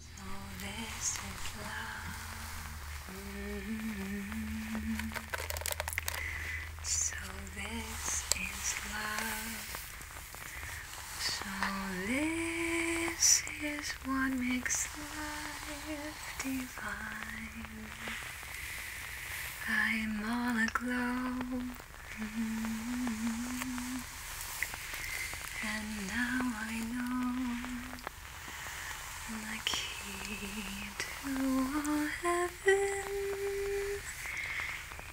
So this is love. So this is love. So this is what makes life divine. I'm all aglow and now I know the key to all heaven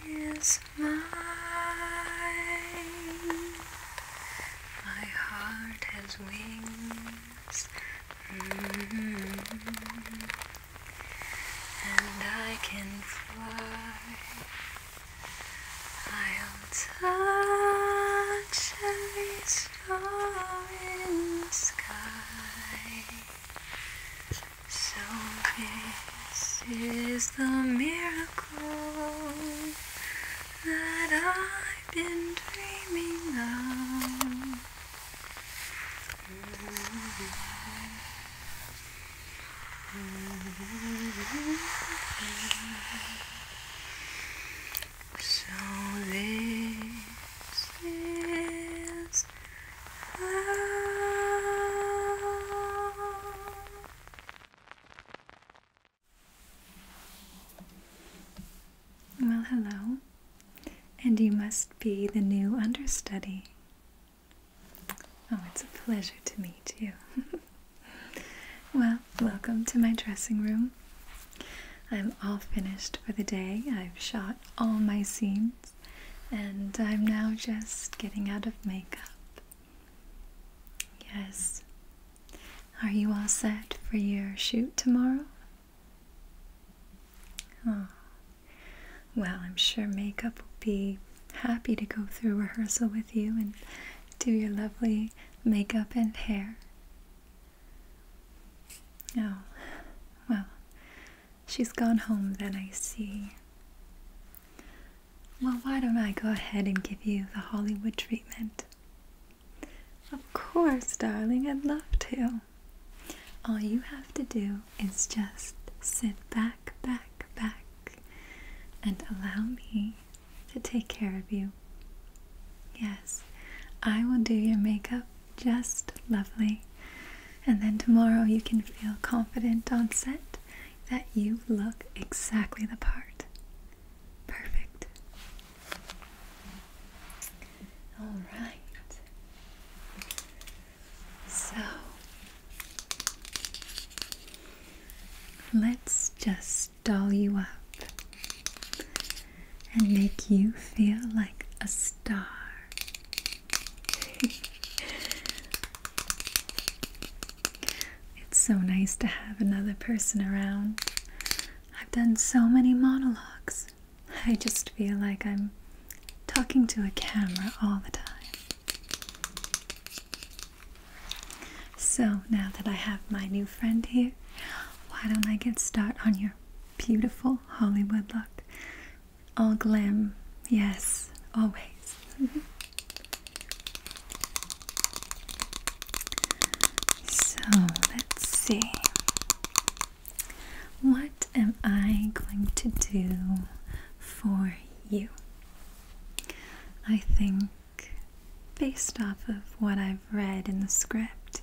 is mine. My heart has wings. Mm-hmm and I can fly. I'll touch every star in the sky. So big is the miracle that I've been dreaming of. So this is love. Well, hello, and you must be the new understudy. Oh, it's a pleasure to meet you. well, welcome to my dressing room. I'm all finished for the day. I've shot all my scenes, and I'm now just getting out of makeup. Yes. Are you all set for your shoot tomorrow? Oh, well, I'm sure makeup will be happy to go through rehearsal with you and do your lovely makeup and hair. Oh, well, she's gone home then, I see. Well, why don't I go ahead and give you the Hollywood treatment? Of course, darling, I'd love to. All you have to do is just sit back, back, back, and allow me to take care of you. Yes, I will do your makeup just lovely. And then tomorrow you can feel confident on set that you look exactly the part. Perfect. All right. So let's just doll you up and make you feel like a star. it's so nice to have another person around. I've done so many monologues. I just feel like I'm talking to a camera all the time. So, now that I have my new friend here, why don't I get started on your beautiful Hollywood look? All glam, yes, always. so, let's see. What am I going to do for you? I think, based off of what I've read in the script,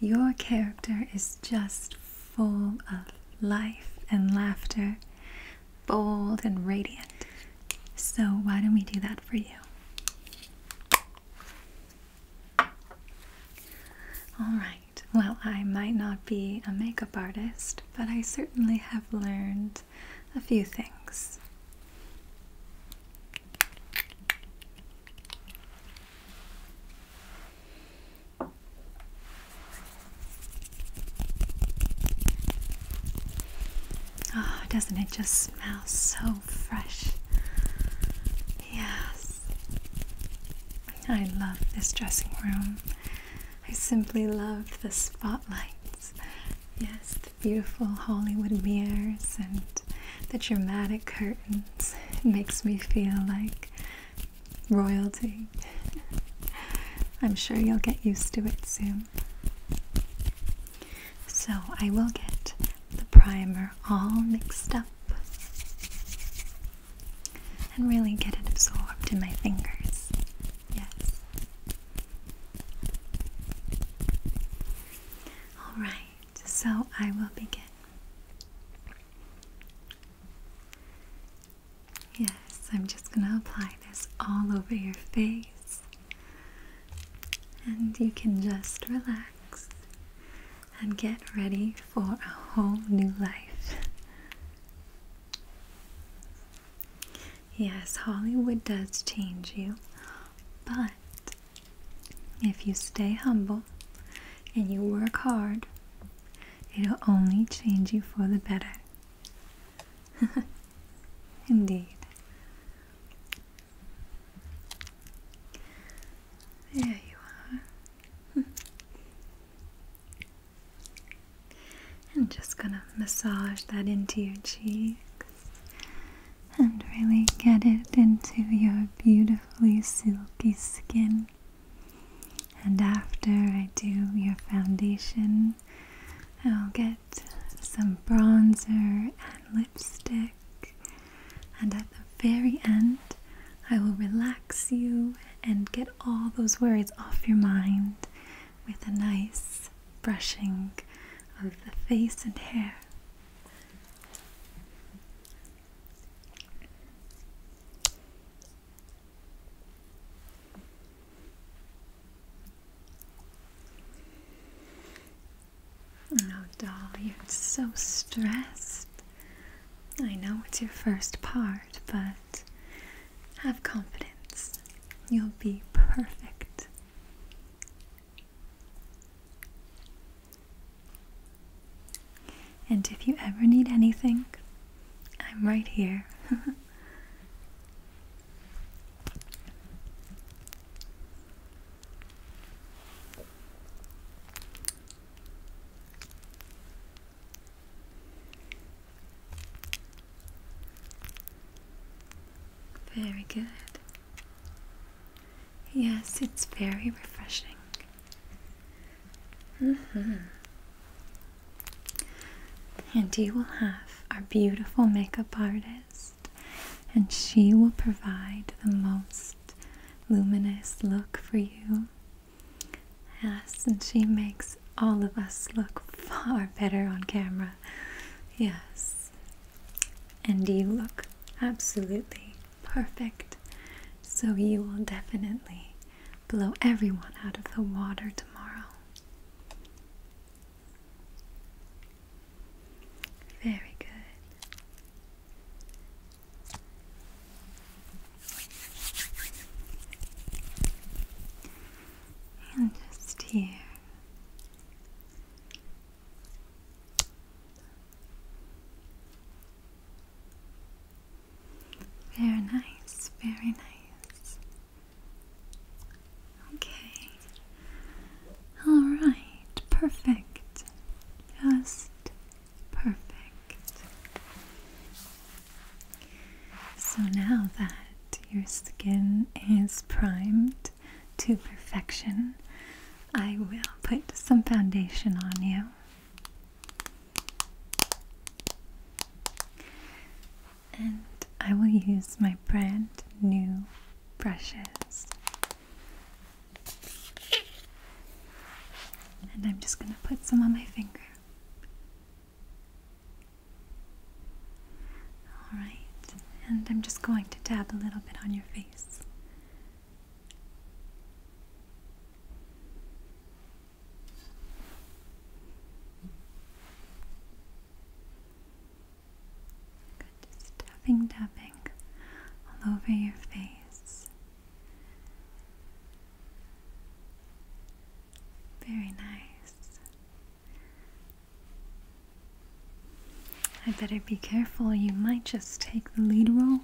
your character is just full of life and laughter, bold and radiant. So, why don't we do that for you? All right. Well, I might not be a makeup artist, but I certainly have learned a few things. Oh, doesn't it just smell so fresh? Yes. I love this dressing room. I simply love the spotlights. Yes, the beautiful Hollywood mirrors and the dramatic curtains. It makes me feel like royalty. I'm sure you'll get used to it soon. So I will get the primer all mixed up and really get it absorbed in my fingers. Yes. Alright, so I will begin. Yes, I'm just going to apply this all over your face. And you can just relax and get ready for a whole new life. Yes, Hollywood does change you, but if you stay humble and you work hard, it'll only change you for the better. Indeed. There you are. Hmm. I'm just gonna massage that into your cheeks and really get it into your beautifully silky skin. And after I do your foundation, I'll get some bronzer and lipstick. And at the very end, I will relax you and get all those worries off your mind with a nice brushing of the face and hair. Oh, doll, you're so stressed. I know it's your first part, but have confidence. You'll be perfect. And if you ever need anything, I'm right here. Very good. Yes, it's very refreshing. Mm-hmm. And you will have our beautiful makeup artist, and she will provide the most luminous look for you Yes, and she makes all of us look far better on camera. Yes. And you look absolutely perfect. So you will definitely blow everyone out of the water tomorrow. Very good. And just here. Very nice, very nice. Okay. All right, perfect. Just Perfect. So now that your skin is primed to perfection, I will put some foundation on you. And I will use my brand new brushes. And I'm just going to put some on my finger. Alright, and I'm just going to dab a little bit on your face. just tapping, tapping all over your face. Very nice. I better be careful, you might just take the lead role.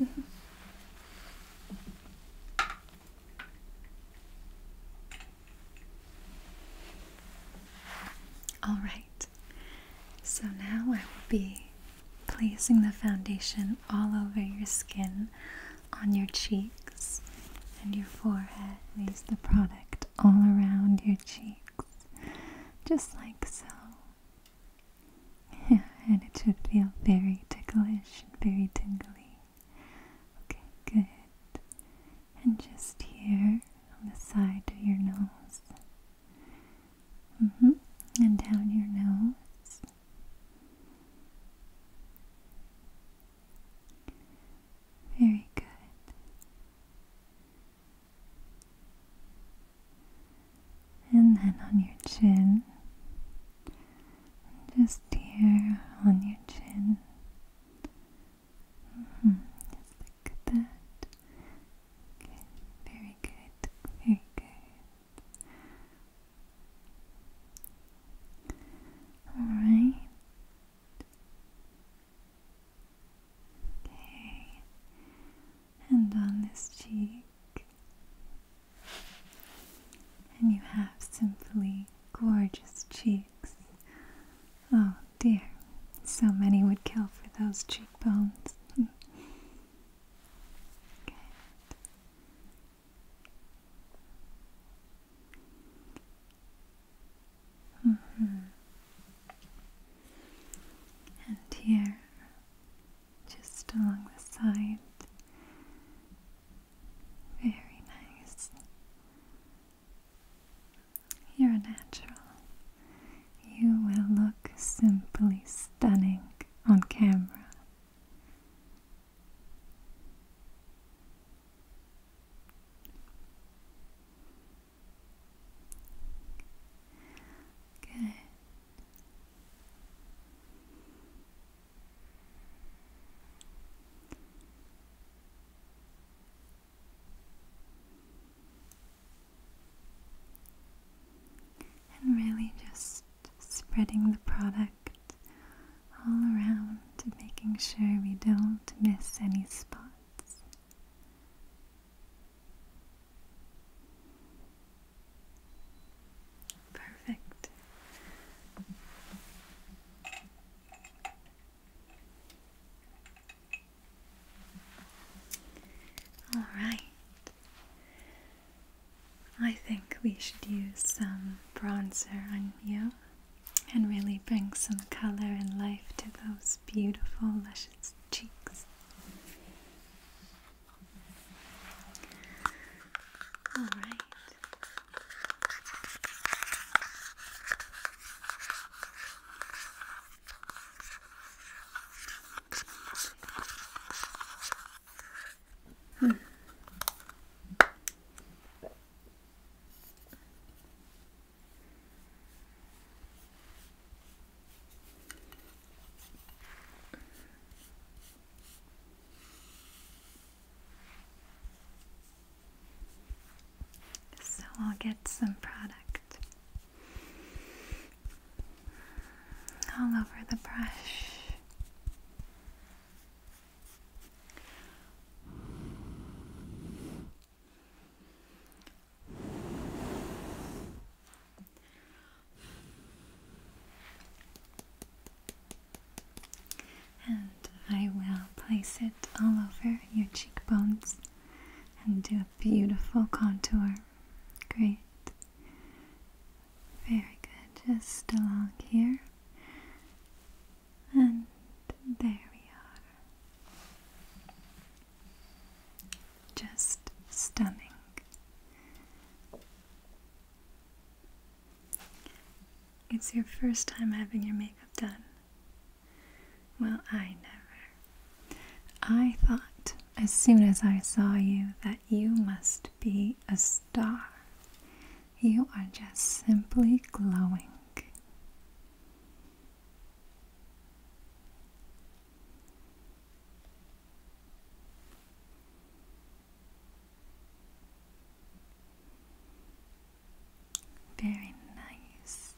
All right, so now I will be placing the foundation all over your skin, on your cheeks and your forehead. Place the product all around your cheeks, just like so. and it should feel very ticklish and very tingly. Okay, good. And just here on the side of your nose. Mm-hmm. And down your nose. Very good. And then on your chin, just here on your chin. Mm -hmm. that. Okay, very good, very good. All right. Okay. And on this cheek. And you have simply gorgeous cheeks. Oh dear, so many would kill for those cheekbones. Mm-hmm. And here, just along the side, very nice. You're a natural. You will look simply stunning on camera. Good and really just spreading the product all around, making sure we don't miss any spots. Perfect. All right. I think we should use some bronzer on you and really bring some color and life to those beautiful, luscious cheeks. All right. Hmm. So I'll get some product all over the brush. And I will place it all over your cheekbones and do a beautiful contour. Great. Very good. Just along here. And there we are. Just stunning. It's your first time having your makeup done. Well, I never. I thought as soon as I saw you that you must be a star. You are just simply glowing. Very nice.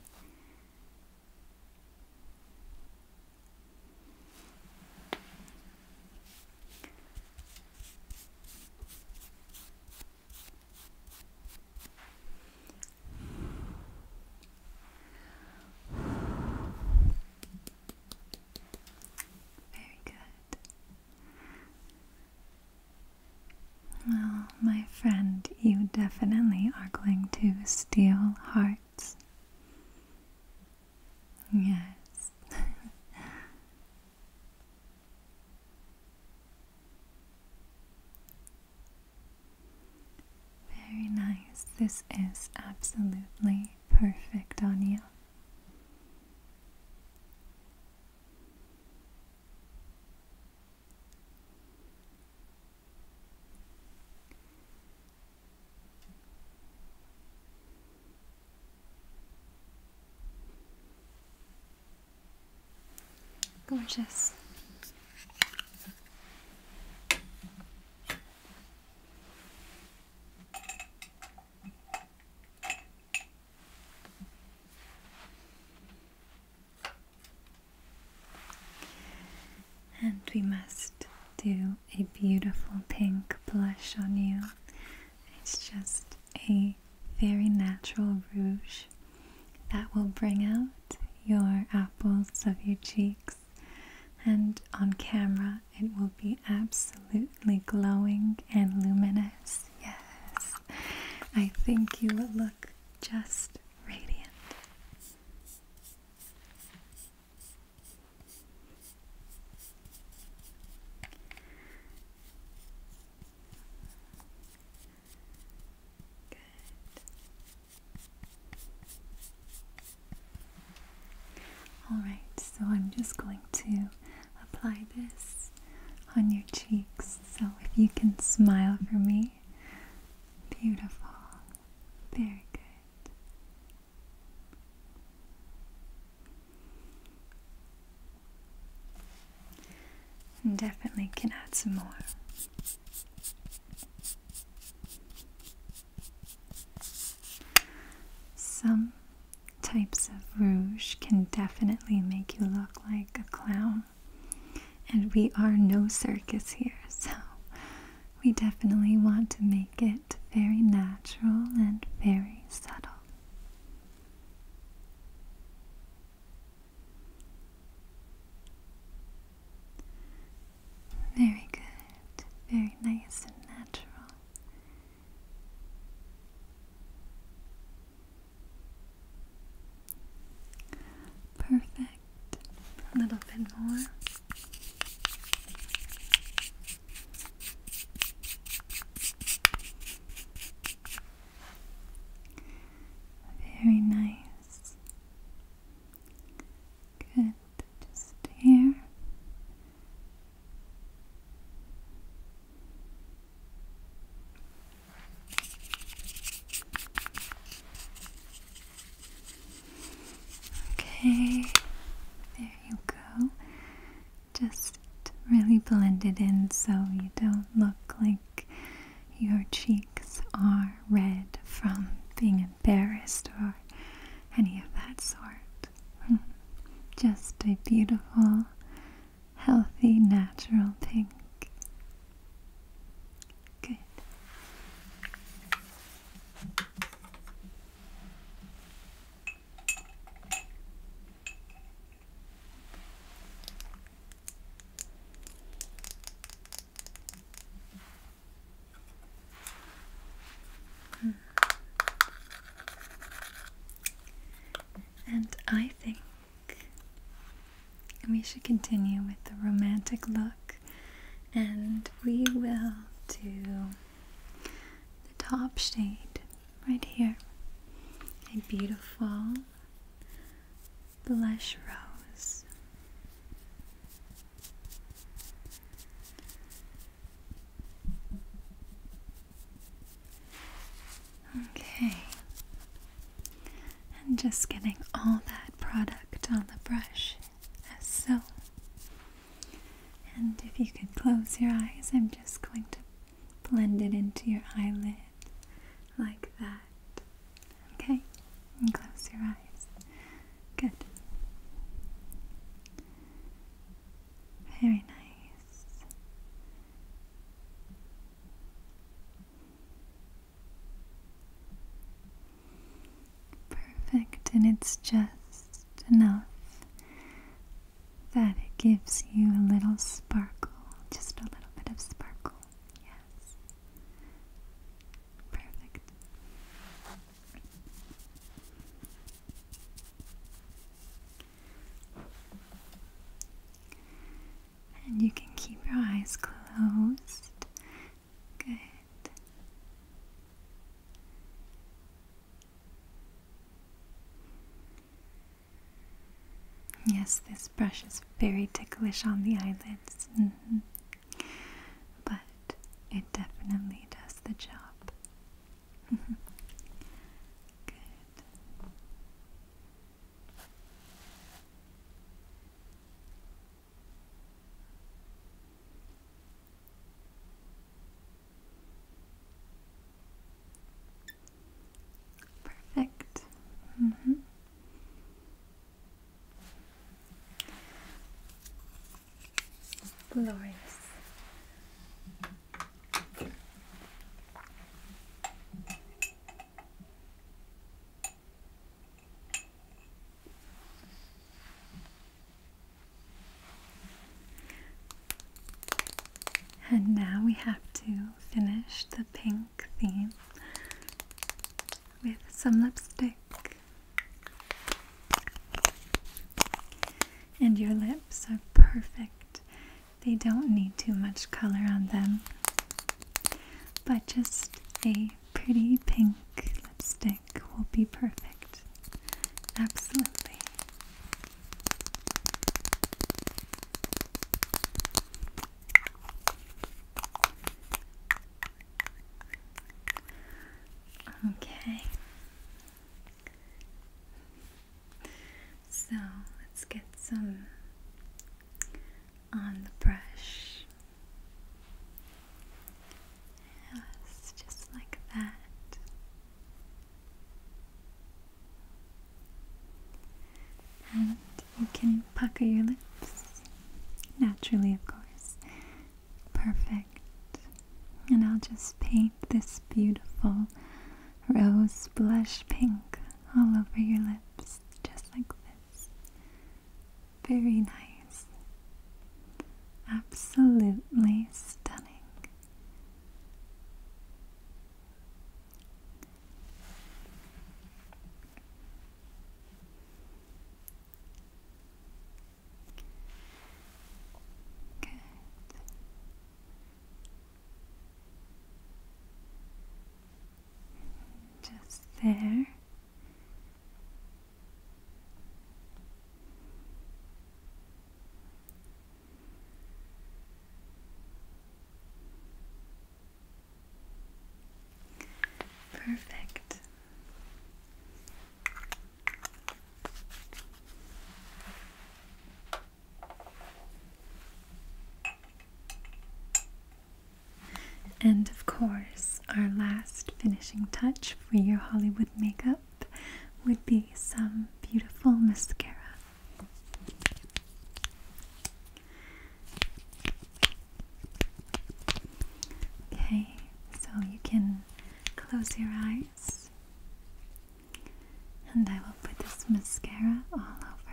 Very good. Well, my friend, you definitely are going to steal hearts. Yes. Very nice. This is absolutely perfect on you. Gorgeous. And we must do a beautiful pink blush on you. It's just a very natural rouge that will bring out your apples of your cheeks, and on camera, it will be absolutely glowing and luminous. Yes, I think you will look just radiant. Alright, so I'm just going to apply this on your cheeks. So if you can smile for me, beautiful, very good definitely can add some more. Some types of rouge can definitely make you look like a clown. And we are no circus here, so we definitely want to make it it very natural and very subtle. Very good, very nice and natural. Perfect. A little bit more. Very nice. Good. Just here. Okay, there you go. Just really blend it in so you don't look like your cheeks are red from being embarrassed or any of that sort. Hmm. Just a beautiful, healthy, natural pink. Good. And I think we should continue with the romantic look, and we will do the top shade right here a beautiful blush rose okay and just getting all that product on the brush as so and if you could close your eyes, I'm just going to blend it into your eyelid like that. Okay? And close your eyes. Good. Very nice perfect and it's just enough that it gives you a little sparkle, just a little bit of sparkle. Yes. Perfect. And you can keep your eyes closed Good. Yes, this brush is very ticklish on the eyelids, mm-hmm. but it definitely does the job. Good. Perfect. Mm -hmm. Glorious. And now we have to finish the pink theme with some lipstick. And your lips are perfect. They don't need too much color on them, but just a pretty pink lipstick will be perfect. Absolutely. Okay. So let's get some on the brush. Yes, just like that. And you can pucker your lips. Naturally, of course. Perfect. And I'll just paint this beautiful rose blush pink all over your lips, just like this. Very nice. Absolutely stunning. Good. Just there. Perfect. And of course, our last last finishing touch for your Hollywood makeup would be some beautiful mascara. Okay, so you can close your eyes and I will put this mascara all over.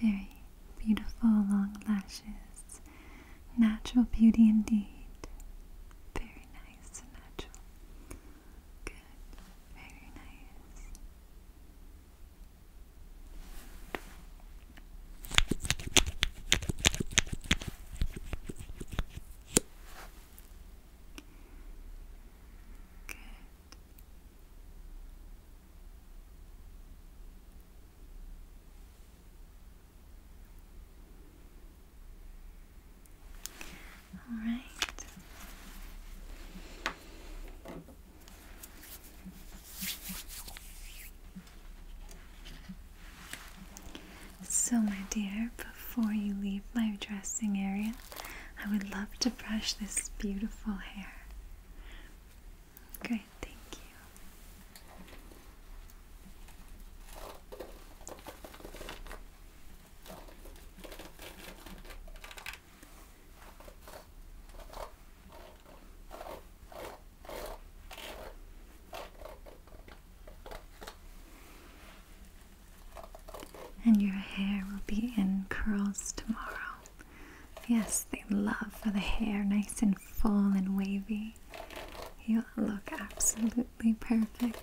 Very beautiful long lashes. Natural beauty indeed. Very nice and natural. Good. Very nice. Good. All right. So, my dear, before you leave my dressing area, I would love to brush this beautiful hair. Great, thank you. And your hair will be in curls tomorrow. Yes, they love for the hair nice and full and wavy. You look absolutely perfect.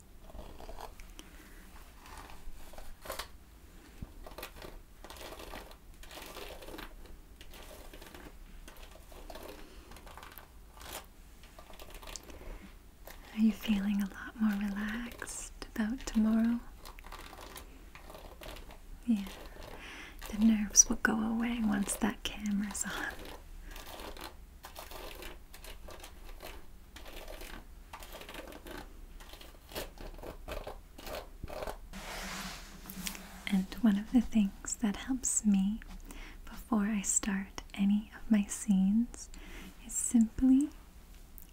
Are you feeling a lot more relaxed about tomorrow? Yeah, the nerves will go away once that camera's on. And one of the things that helps me before I start any of my scenes is simply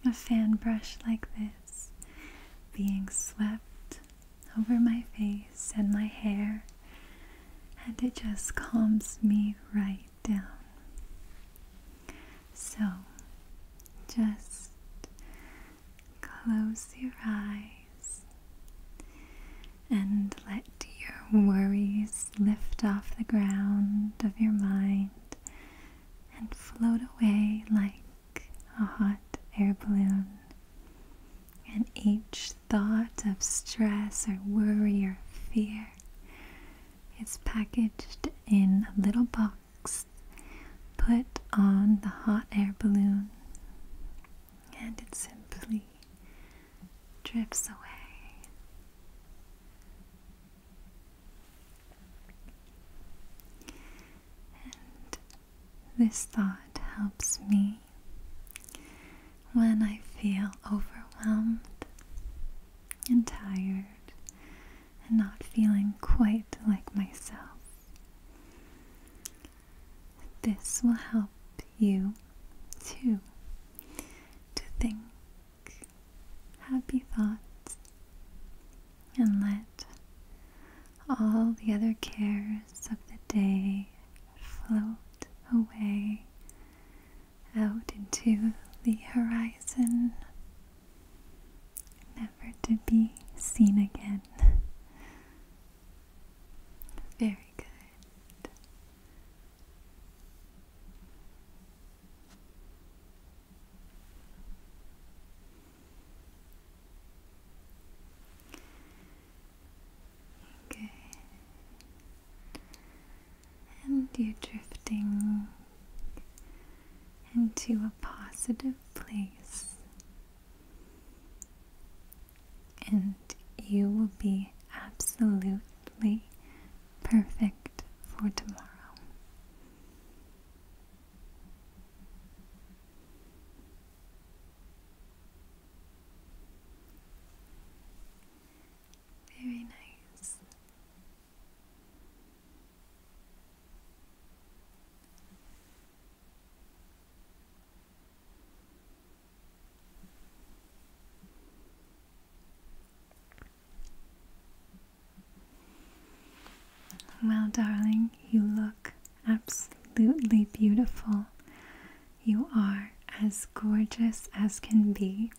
a fan brush like this being swept over my face and my hair, and it just calms me right down. So just close your eyes and let your worries lift off the ground of your mind and float away like a hot air balloon. And each thought of stress or worry or fear it's packaged in a little box put on the hot air balloon and it simply drifts away. this thought helps me when I feel overwhelmed and tired and not feeling quite like myself. This will help you too to think happy thoughts and let all the other cares of the day float away out into the horizon, never to be seen again. Very good. Okay and you're drifting into a positive place. And you will be absolutely perfect for tomorrow. Very nice. Well, darling, you look absolutely beautiful. You are as gorgeous as can be.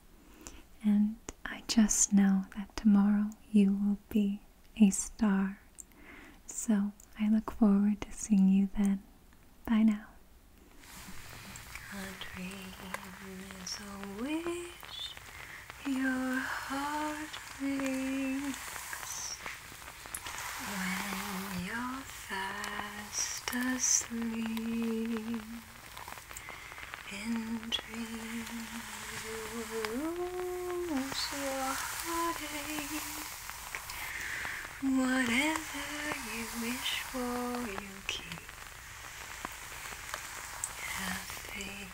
And I just know that tomorrow you will be a star. So I look forward to seeing you then. Bye now. In dreams you lose your heartache. Whatever you wish for, you keep. Happy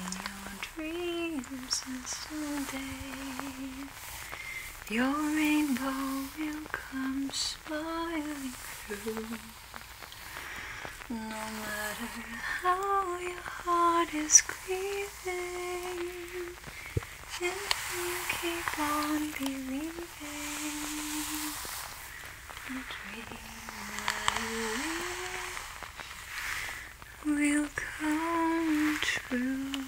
in your dreams and someday your rainbow will come smiling through. No matter how your heart is grieving, if you keep on believing, the dream that you will, will come true.